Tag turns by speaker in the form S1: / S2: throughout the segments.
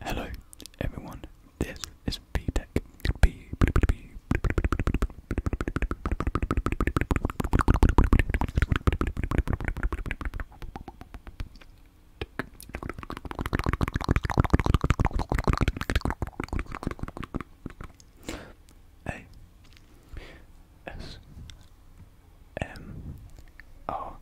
S1: Hello everyone, this is VTech. B A S um,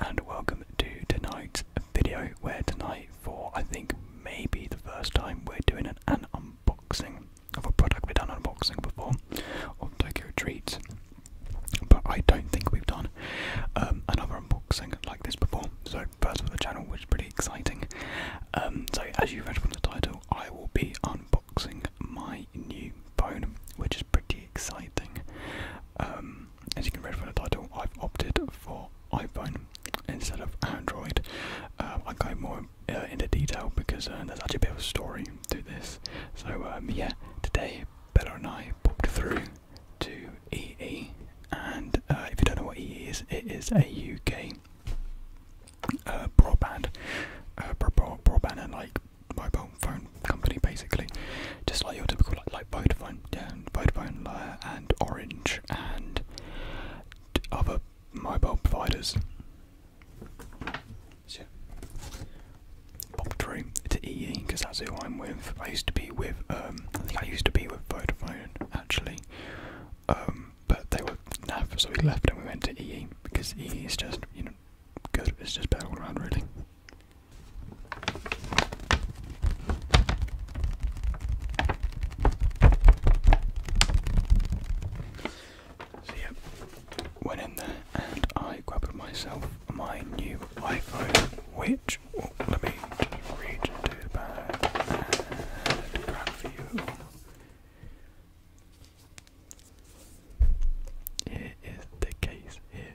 S1: and welcome to tonight's video. Where tonight, for I think maybe the first time, we're doing an, unboxing of a product we've done unboxing before, of Tokyo Treats. But I don't think we've done um, another unboxing like this before, so first for the channel, which is pretty exciting. Um, so, as you read from the title, I will be unboxing my new phone, which is pretty exciting. Um, as you can read from the title, I've opted for iPhone instead of Android. Um, I go more uh, into detail because uh, there's actually a bit of a story to this. So um, yeah, today Bella and I popped through to EE, and uh, if you don't know what EE is, it is a UK broadband, broadband and like mobile phone company basically, just like your typical like, like Vodafone, yeah, and Vodafone and Orange and other mobile providers. So, pop through to EE because that's who I'm with. I used to be with, um, I think I used to be with Vodafone actually, um, but they were naff, so we left and we went to EE because EE is just, you know, good. It's just better around really. So yeah, went in there and I grabbed myself my new iPhone, which oh, let me reach into the Here is the case here.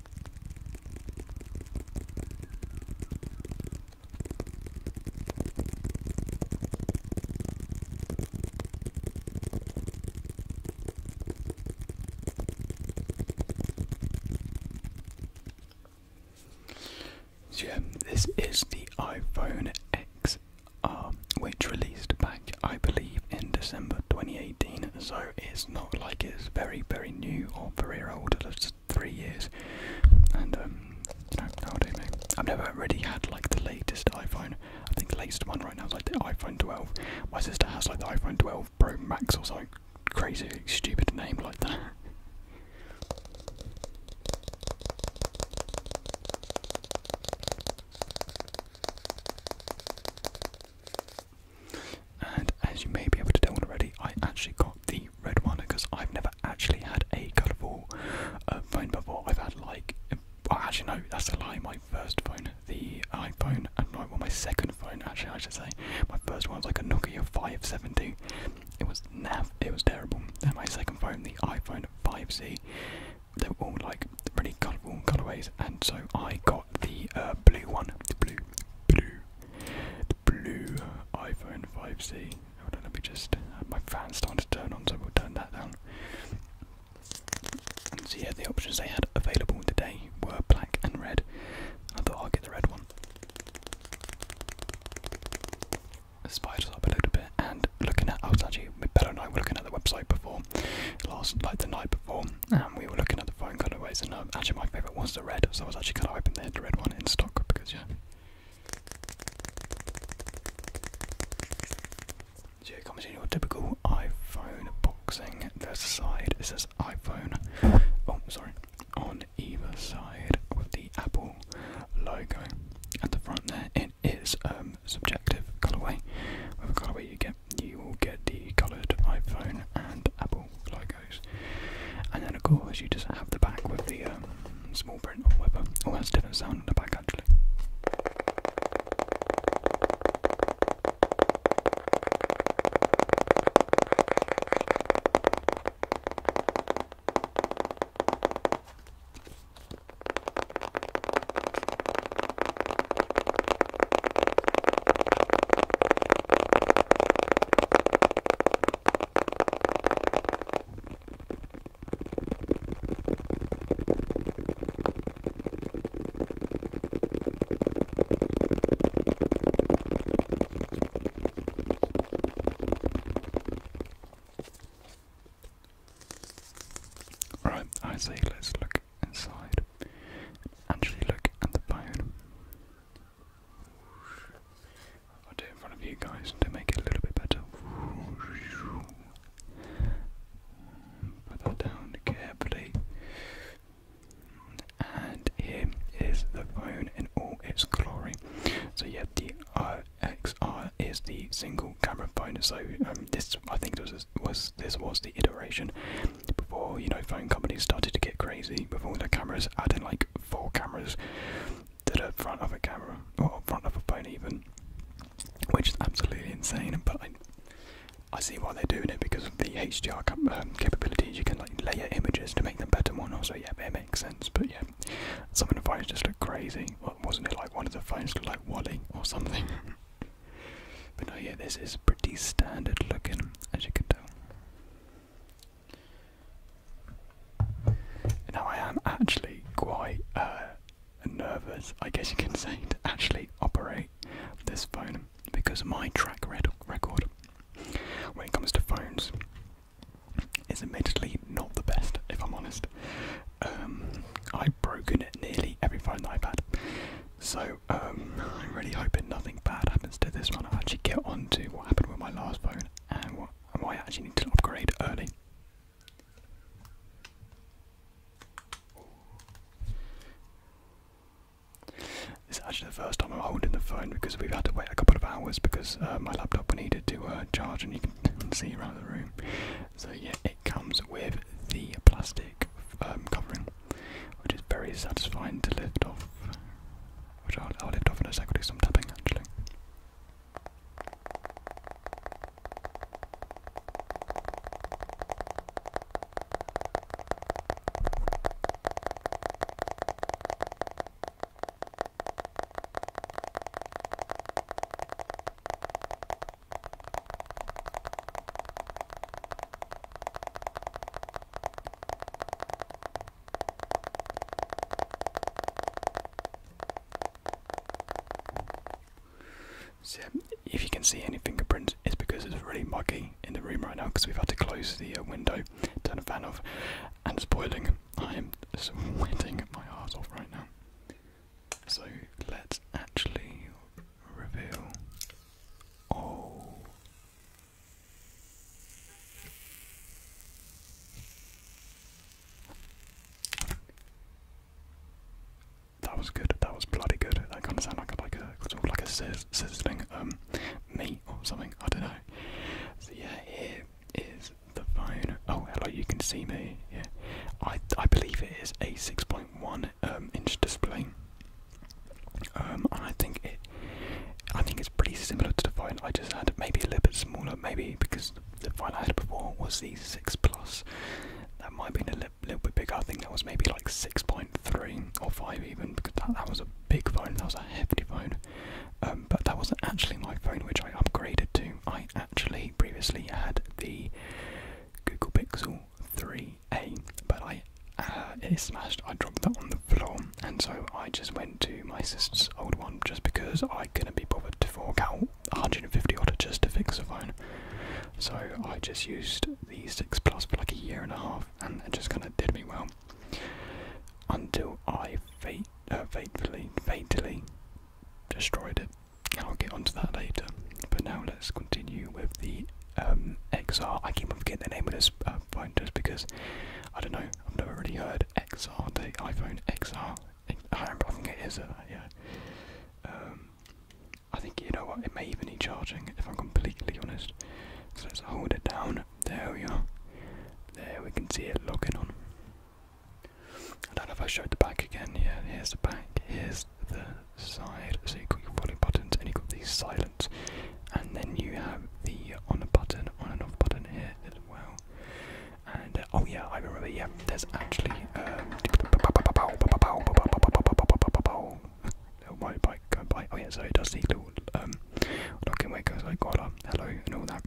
S1: So this is the iPhone XR, which released back, I believe, in December 2018. So it's not like it's very, very new or very old three years, and um, you know, nowadays mate, I've never already had like the latest iPhone. I think the latest one right now is like the iPhone 12. My sister has like the iPhone 12 Pro Max or something crazy, stupid name like that. And as you may be able to tell already, I actually got the red one because I've never actually had a colourful uh, phone before. I've had like, well, oh, actually no, that's a lie. My first phone, the iPhone, and no, well, my second phone actually, I should say, my first one was like a Nokia 572. It was nav, it was terrible. Then my second phone, the iPhone 5C, they were all like really colourful colourways, and so I got the uh, blue one, blue, blue, blue iPhone 5C. Hold on, let me just. Uh, my fan's starting to turn on, so we'll turn that down. And so, yeah, the options they had available today were black and red. I thought i will get the red one. The spiders up a little bit, and looking at. I was actually, Bella I were looking at the website before, last, like the night before, and we were looking at the phone colourways, and um, actually, my favourite was the red, so I was actually kind of open they the red one instead. So it comes in your typical iPhone boxing. There's a side, it says iPhone. Oh, sorry. On either side with the Apple logo at the front there. It is um, subjective colorway. With a colourway you get you will get the coloured iPhone and Apple logo. And then, of course, you just have the back with the um, small print or whatever. Oh, that's a different sound on the back, actually. Right, I say let's look inside. Actually, look at the bone. I'll do in front of you guys to make it a little bit better. Put that down carefully. And here is the phone in all its glory. So yeah, the RXR is the single camera phone. So um, this, I think, this was this was the iteration before you know phone companies started to get creative crazy with all the cameras, adding like four cameras to the front of a camera, or front of a phone even, which is absolutely insane. But I, see why they're doing it because of the HDR um, capabilities. You can like layer images to make them better and whatnot. So yeah, it makes sense. But yeah, some of the phones just look crazy. Wasn't it like one of the phones looked like Wally or something? but no, yeah, this is pretty standard looking, as you can tell. Now I am actually quite uh, nervous, I guess you can say, to actually operate this phone because my track record when it comes to phones is admittedly not the best, if I'm honest. Um, I've broken nearly every phone that I've had, so um, I'm really hoping nothing bad happens to this one. I'll actually get on to what happened with my last phone and why I actually need to upgrade early. This is actually the first time I'm holding the phone because we've had to wait a couple of hours because uh, my laptop needed to uh, charge, and you can see around the room. So yeah, it comes with the plastic um, covering, which is very satisfying to lift off. Which I'll, I'll lift off in a sec, do some tapping actually. So if you can see any fingerprints, it's because it's really muggy in the room right now because we've had to close the uh, window, turn the fan off, and it's boiling. I am sweating my arse off right now. So let's actually reveal. Oh, that was good. That was bloody good. That kind of sound like a, like a sort of like a sizz sizzling um meat or something. I don't know. So yeah, here is the phone. Oh, hello. You can see me. Yeah, I I believe it is a six point one um inch display. Um, I think it I think it's pretty similar to the phone I just had, maybe a little bit smaller, maybe because the phone I had before was the 6 Plus. That might have been a little bit bigger, I think that was maybe like 6.3 or 5 even, because that, was a big phone, that was a hefty phone. Um, but that wasn't actually my phone which I upgraded to. I actually previously had the Google Pixel 3a, but I uh, it is smashed. I dropped that on the floor and so I just went to my sister's old one just because I couldn't be bothered to fork out 150 odd just to fix a phone. So I just used the 6 Plus for like a year and a half, and it just kind of did me well until I fate, uh, fatally, fatally destroyed it. I'll get onto that later. But now let's continue with the um, XR. I keep forgetting the name of this uh, phone just because I don't know. I've never really heard XR, the iPhone XR. I, think it is, a uh, yeah. Um, I think, you know what, it may even need charging, if I'm completely honest. So let's hold it down. There we are. There we can see it logging on. I don't know if I showed the back again. Yeah, here's the back, here's the side. So you've got your volume buttons and you've got the silence. And then you have the on a button, on and off button here well. And uh, oh yeah, I remember. Yeah, there's actually. Um, oh my bike going by. Oh yeah, so it does the little um, locking where it goes like hola, uh, hello, and all that.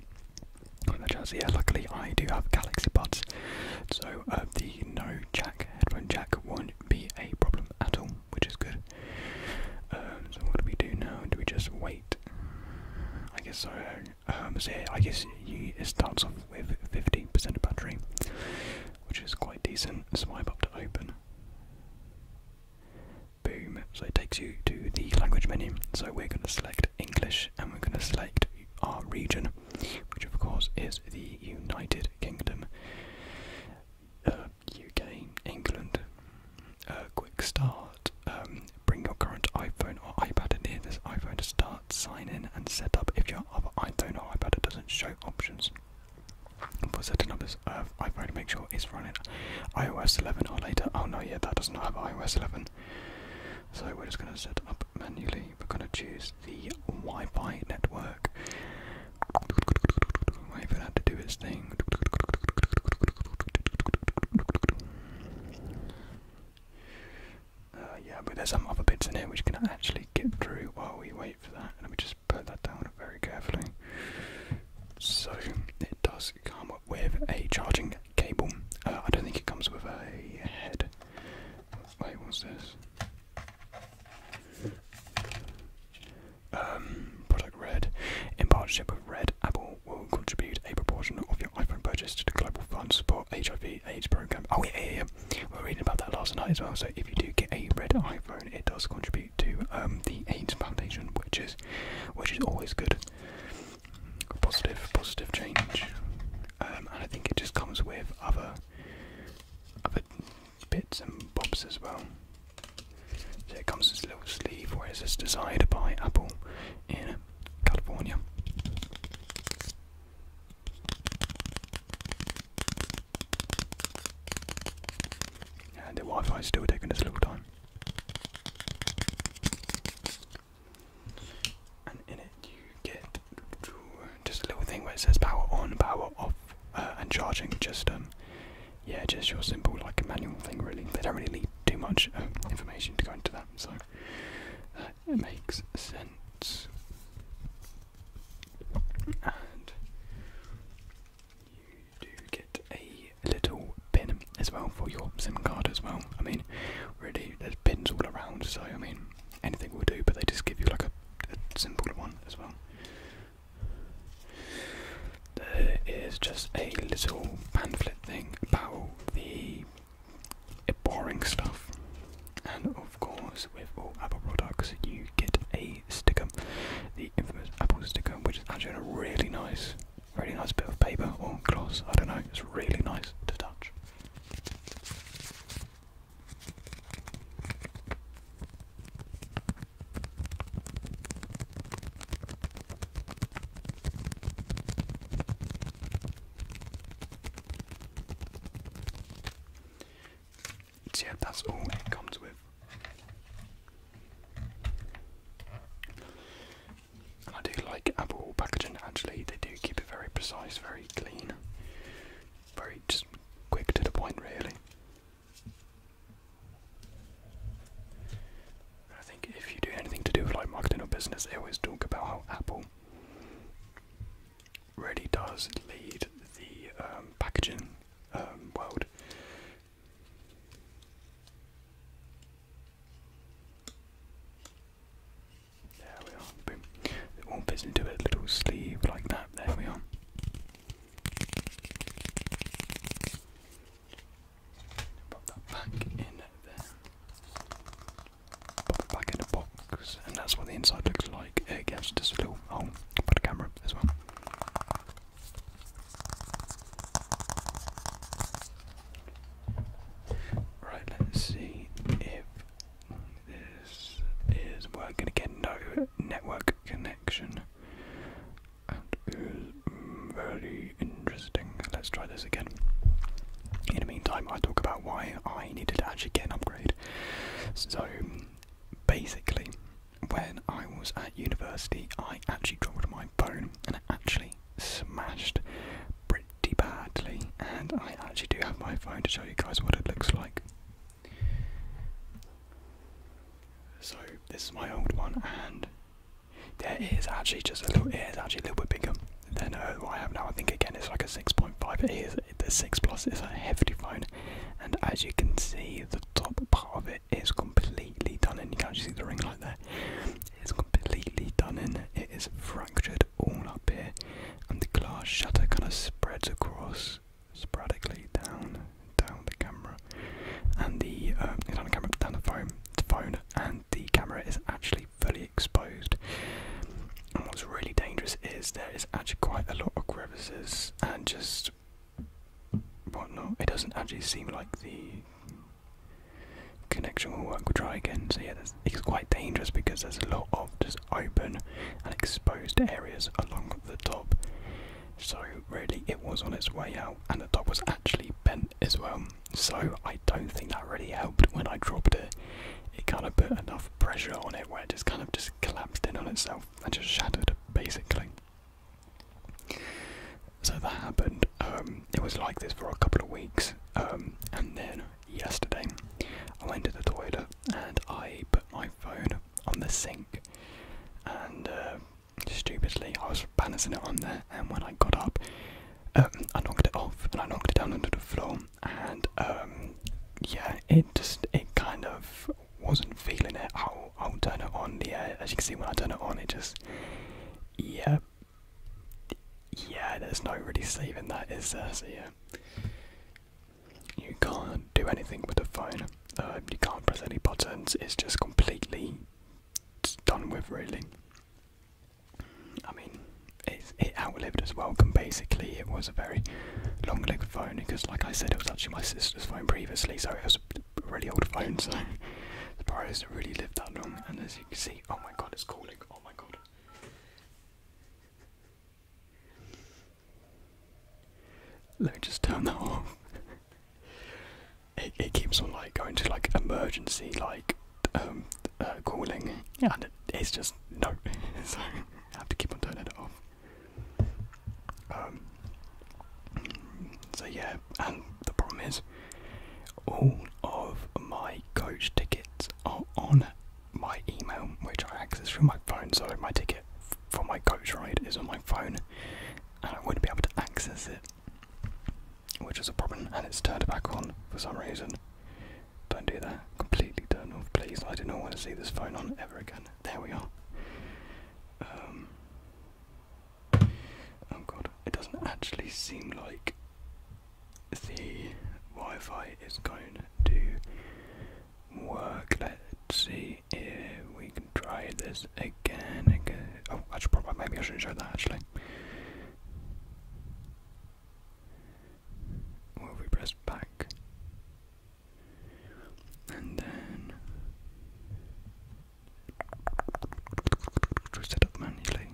S1: All that jazz. Yeah, luckily I do have Galaxy Buds, so uh, the no jack headphone jack won't be a problem at all, which is good. Um, so what do we do now? Do we just wait? I guess so. Um, so I guess you, it starts off with 15% battery, which is quite decent. Swipe up to open. Boom. So it takes you to the language menu. So we're going to select English and we're going to select our region, which of course is the United Kingdom, UK, uh, England, uh, quick start. Um, bring your current iPhone or iPad and near this iPhone to start, sign in and set up. If your other iPhone or iPad doesn't show options for setting up this uh, iPhone, make sure it's running iOS 11 or later. Oh no, yeah, that does not have iOS 11. So we're just going to set up manually. We're going to choose the Wi-Fi network. Wait for to do its thing. Uh, yeah, but there's some other bits in here which can actually get through while we wait for that. Let me just put that down very carefully. So it does come up with a charging cable. Uh, I don't think it comes with a head. Wait, what's this? Um, product Red in partnership with Red Apple will contribute a proportion of your iPhone purchase to the Global Fund Support HIV AIDS Program. Oh, yeah, yeah, yeah. We were reading about that last night as well. So if you do get a red iPhone, it does contribute to um, the AIDS Foundation, which is, which is always good. Positive, positive change. Um, and I think it just comes with other, other bits and bobs as well. So it comes this little sleeve, where whereas it's desired by Apple in California. And the Wi-Fi is still taking its little time. And in it you get just a little thing where it says power on, power off, uh, and charging. Just um, yeah, just your simple like manual thing really. They don't really need too much um, information to go into that, so that makes sense. And you do get a little pin as well for your SIM card as well. I mean, really, there's pins all around, so I mean, anything will do, but they just give you like a, simple one as well there is just a little pamphlet thing about the boring stuff. And of course, with all Apple products, you get a sticker, the infamous Apple sticker, which is actually a really nice, really nice bit of paper or gloss. I don't know, it's really nice to touch yeah, that's all it comes with. I do like Apple packaging actually, they do keep it very precise, very clean, very just quick to the point really. I think if you do anything to do with like marketing or business, they always talk about how Apple really does lead the um, packaging um, world. There we are. Boom. It all fits into a little sleeve like that. There we are. Pop that back in there. Pop it back in the box, and that's what the inside looks like. It gets just a little hole for the camera as well. Right, let's see if this is working again. No network connection. That is very interesting. Let's try this again. In the meantime, I talk about why I needed to actually get an upgrade. So, basically, when I was at university, I actually dropped my phone and it actually smashed pretty badly. And I actually do have my phone to show you guys what it looks like. So, this is my old one, and their actually just a little ears actually a little bit bigger than uh, what I have now. I think again it's like a 6.5. It is the 6 Plus It's a hefty phone, and as you can see, the top part of it is completely done in. You can not actually see the ring like that. It's completely done in. It is fractured all up here, and the glass shutter kind of spreads across sporadically down, down the camera, and the down um, the camera, down the phone, the phone, and the camera is actually fully exposed. And what's really dangerous is there is actually quite a lot of crevices and just whatnot. It doesn't actually seem like the connection will work. We'll try again. So yeah, it's quite dangerous because there's a lot of just open and exposed areas along the top. So really, it was on its way out, and the top was actually bent as well so I don't think that really helped when I dropped it. It kind of put enough pressure on it where it just kind of just collapsed in on itself and just shattered basically. So that happened. Um, it was like this for a couple of weeks, um, and then yesterday I went to the toilet and I put my phone on the sink, and uh, Stupidly, I was balancing it on there, and when I got up, um, I knocked it off and I knocked it down onto the floor, and um, yeah, it just it kind of wasn't feeling it. I'll I'll turn it on. Yeah, as you can see, when I turn it on, it just yeah, yeah. There's no really saving that, is there? So yeah, you can't do anything with the phone. Um, you can't press any buttons. It's just completely done with, really. I mean, it's, it outlived its welcome basically. It was a very long lived phone because, like I said, it was actually my sister's phone previously, so it was a really old phone, so the price really lived that long. And as you can see, oh my god, it's calling, oh my god. Let me just turn that off it, keeps on like going to like emergency like um, uh, calling and it's just no so have to keep on turning it off um, so yeah and the problem is all of my coach tickets are on my email which I access through my phone so my ticket for my coach ride is on my phone and I wouldn't be able to access it which is a problem, and it's turned back on for some reason. Don't do that. Completely turn off, please. I do not want to see this phone on ever again. There we are. Um, oh god, it doesn't actually seem like the Wi-Fi is going to work. Let's see if we can try this again. Oh, I probably maybe I shouldn't show that actually. Or we press back and then set up manually.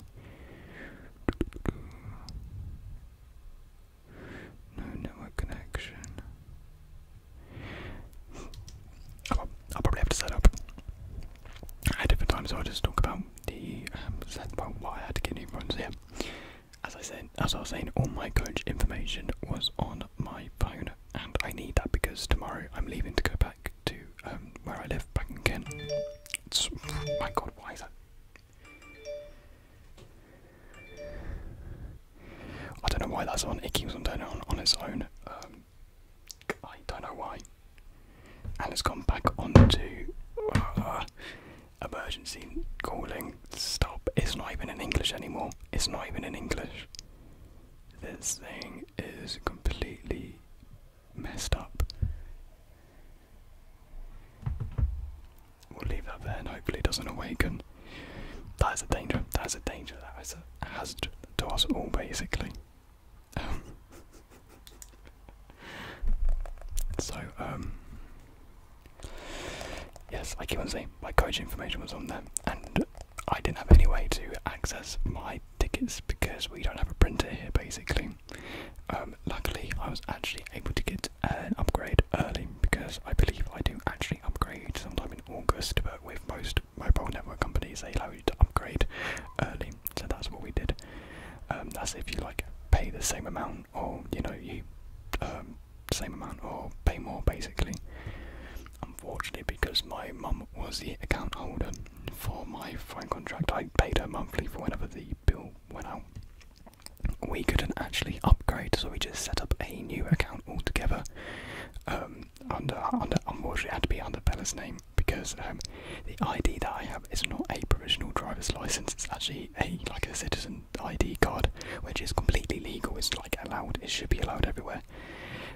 S1: No network connection. I'll probably have to set up at different times, I'll just talk about the um, set, well, why I had to get new phones here. As I said, as I was saying, all my coach information was on my phone, and I need that because tomorrow I'm leaving to go back to um, where I live, back in Kent. It's, my God, why is that? I don't know why that's on. It keeps on turning on on its own. Um, I don't know why. And it's gone back onto uh, emergency calling. Stop. It's not even in English anymore. It's not even in English. This thing is completely messed up. We'll leave that there and hopefully it doesn't awaken. That is a danger. That is a danger. That is a hazard to us all, basically. so, um, yes, I keep on saying my coach information was on there, and I didn't have any way to access my tickets because we don't have a printer here basically. Um, luckily, I was actually able to get an upgrade early because I believe I do actually upgrade sometime in August, but with most mobile network companies, they allow you to upgrade early so that's what we did. Um, that's if you like pay the same amount, or you know you um, same amount, or pay more basically. Unfortunately, because my mum was the account holder for my phone contract, I paid her monthly for whenever the bill went out. We couldn't actually upgrade, so we just set up a new account altogether. Um, under, under, unfortunately, it had to be under Bella's name because um, the ID that I have is not a provisional driver's license. It's actually a like a citizen ID card, which is completely legal. It's like allowed. It should be allowed everywhere.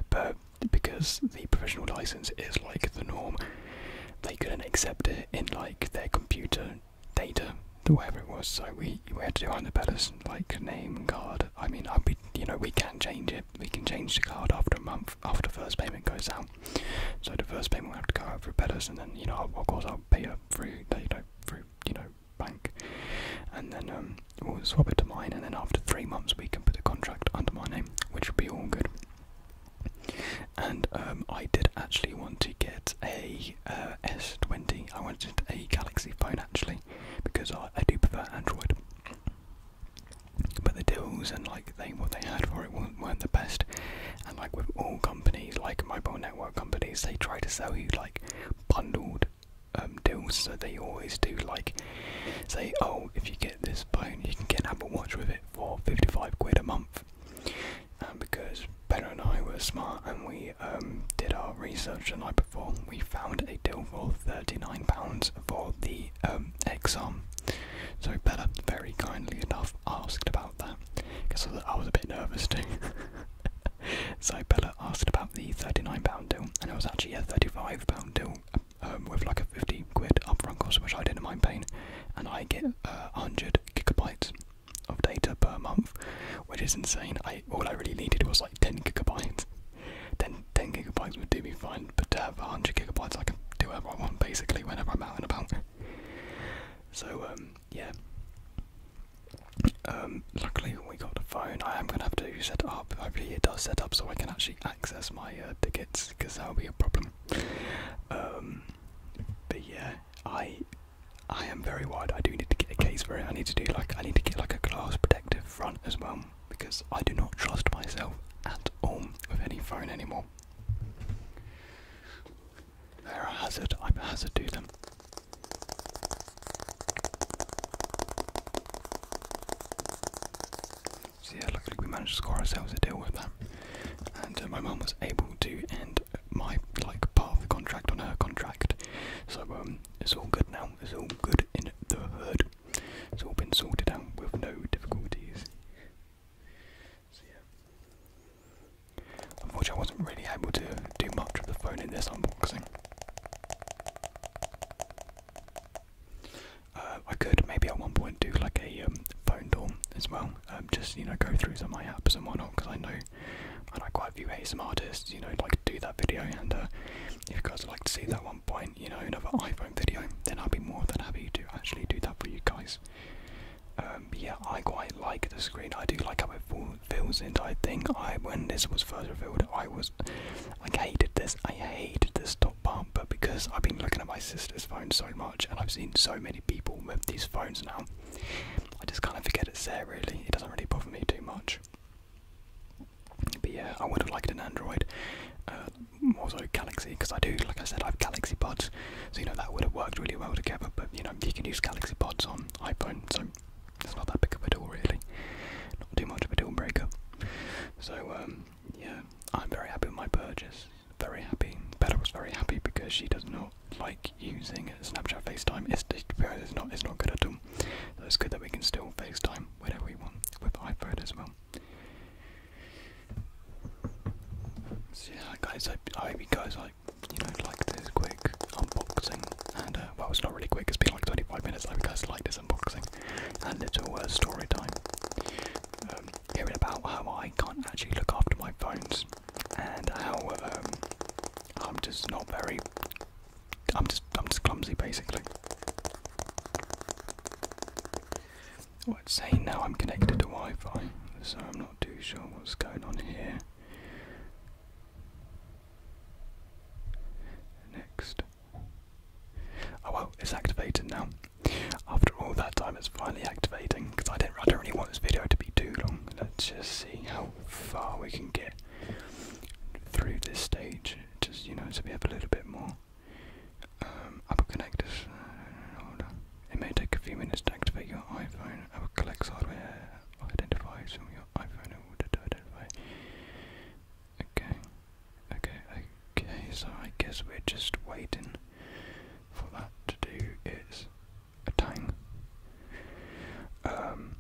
S1: But because the provisional license is like the norm, they couldn't accept it in like their computer data, whatever it was. So we we had to do under better like name card. I mean, I, we you know we can change it, we can change the card after a month after first payment goes out. So the first payment will have to go out through Betters, and then you know of course I'll pay it through you know through you know bank, and then um, we'll swap it to mine, and then after three months we can put the contract under my name, which would be all good. And um, I did actually want to get a uh, 20 I wanted a Galaxy phone actually because I, I do prefer Android. But the deals and like they what they had for it weren't, the best. And like with all companies, like mobile network companies, they try to sell you like bundled um, deals. So they always do like say, oh, if you get this phone, you can get an Apple Watch with it for 55 quid a month. And um, because Ben and I were smart and we um, did our research the night before, we found a deal for £39 for the the um, exam. So Bella very kindly enough asked about that because I was a bit nervous too. so Bella asked about the £39 deal and it was actually a £35 deal um, with like a 50 quid upfront cost which I didn't mind paying and I get uh, 100 gigabytes of data per month which is insane. I All I really needed was like 10 gigabytes. 10, 10 gigabytes would do me fine but to have 100 gigabytes, I can do whatever I want basically whenever I'm out and about. So, um, yeah. Um, luckily, we got a phone. I am gonna have to set up. Hopefully, it does set up so I can actually access my uh, tickets because that will be a problem. Um, but yeah, I I am very wide. I do need to get a case for it. I need to do like I need to get like a glass protective front as well because I do not trust myself at all with any phone anymore. There are hazards. I'm a hazard to them. So yeah, luckily we managed to score ourselves a deal with them, and uh, my mum was able to end my like part of the contract on her contract. So um, it's all good now. It's all good in the hood. It's all been sorted out with no difficulties. So Unfortunately, I wasn't really able to do much with the phone in this unboxing. Uh, I could maybe at one point do like a um, phone dorm as well, um, just you know go through some of my apps and whatnot because I know I quite a few ASM artists, you know, like do that video. And uh, if you guys would like to see that one point, you know, another iPhone video, then I'd be more than happy to actually do that for you guys. Um, yeah, I quite like the screen. I do like how it fills in. I think I, when this was first revealed, I was like hated this. I hated this top bar, but because I've been looking at my sister's phone so much, and I've seen so many people with these phones now, I just kind of forget it's there. Really, it doesn't really bother me too much. But yeah, I would have liked an Android. Uh, more so Galaxy because I do, like I said, I have Galaxy pods, so you know that would have worked really well together. But you know, you can use Galaxy pods on iPhone, so it's not that big of a deal, really. Not too much of a deal breaker. So um, yeah, I'm very happy with my purchase. Very happy. Bella was very happy because she does not like using Snapchat FaceTime. It's, it's not it's not good at all. So it's good that we can still FaceTime whenever we want with iPhone as well yeah, guys, I, hope you guys like you know like this quick unboxing and uh, well, it's not really quick. It's been like 25 minutes. I hope you guys like this unboxing and little uh, story time. Um, hearing about how I can't actually look after my phones and how um, I'm just not very. I'm just I'm just clumsy basically. Let's see. now I'm connected to Wi Fi, so I'm not too sure what's going on here. Next. Oh well, it's activated now. After all that time, it's finally activating because I, did not really want this video to be too long. Let's just see how far we can get through this stage, just you know, so we have a little bit more Apple um, connectors uh, It may take a few minutes to activate your iPhone. Apple collects hardware identifiers from your iPhone in order to identify. Okay, okay, okay. So I guess we're just waiting for that to do its thing. Um,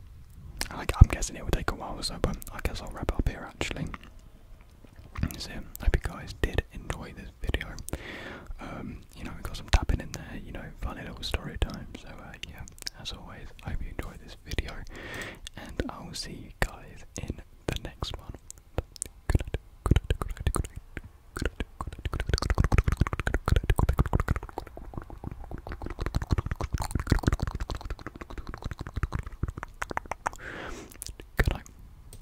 S1: I'm guessing it will take a while or so, but I guess I'll wrap up here actually. So I hope you guys did enjoy this video. Um, you know, we got some tapping in there, you know, funny little story time. So uh, yeah, as always, I hope you enjoyed this video, and I will see you guys in the next one. Good night.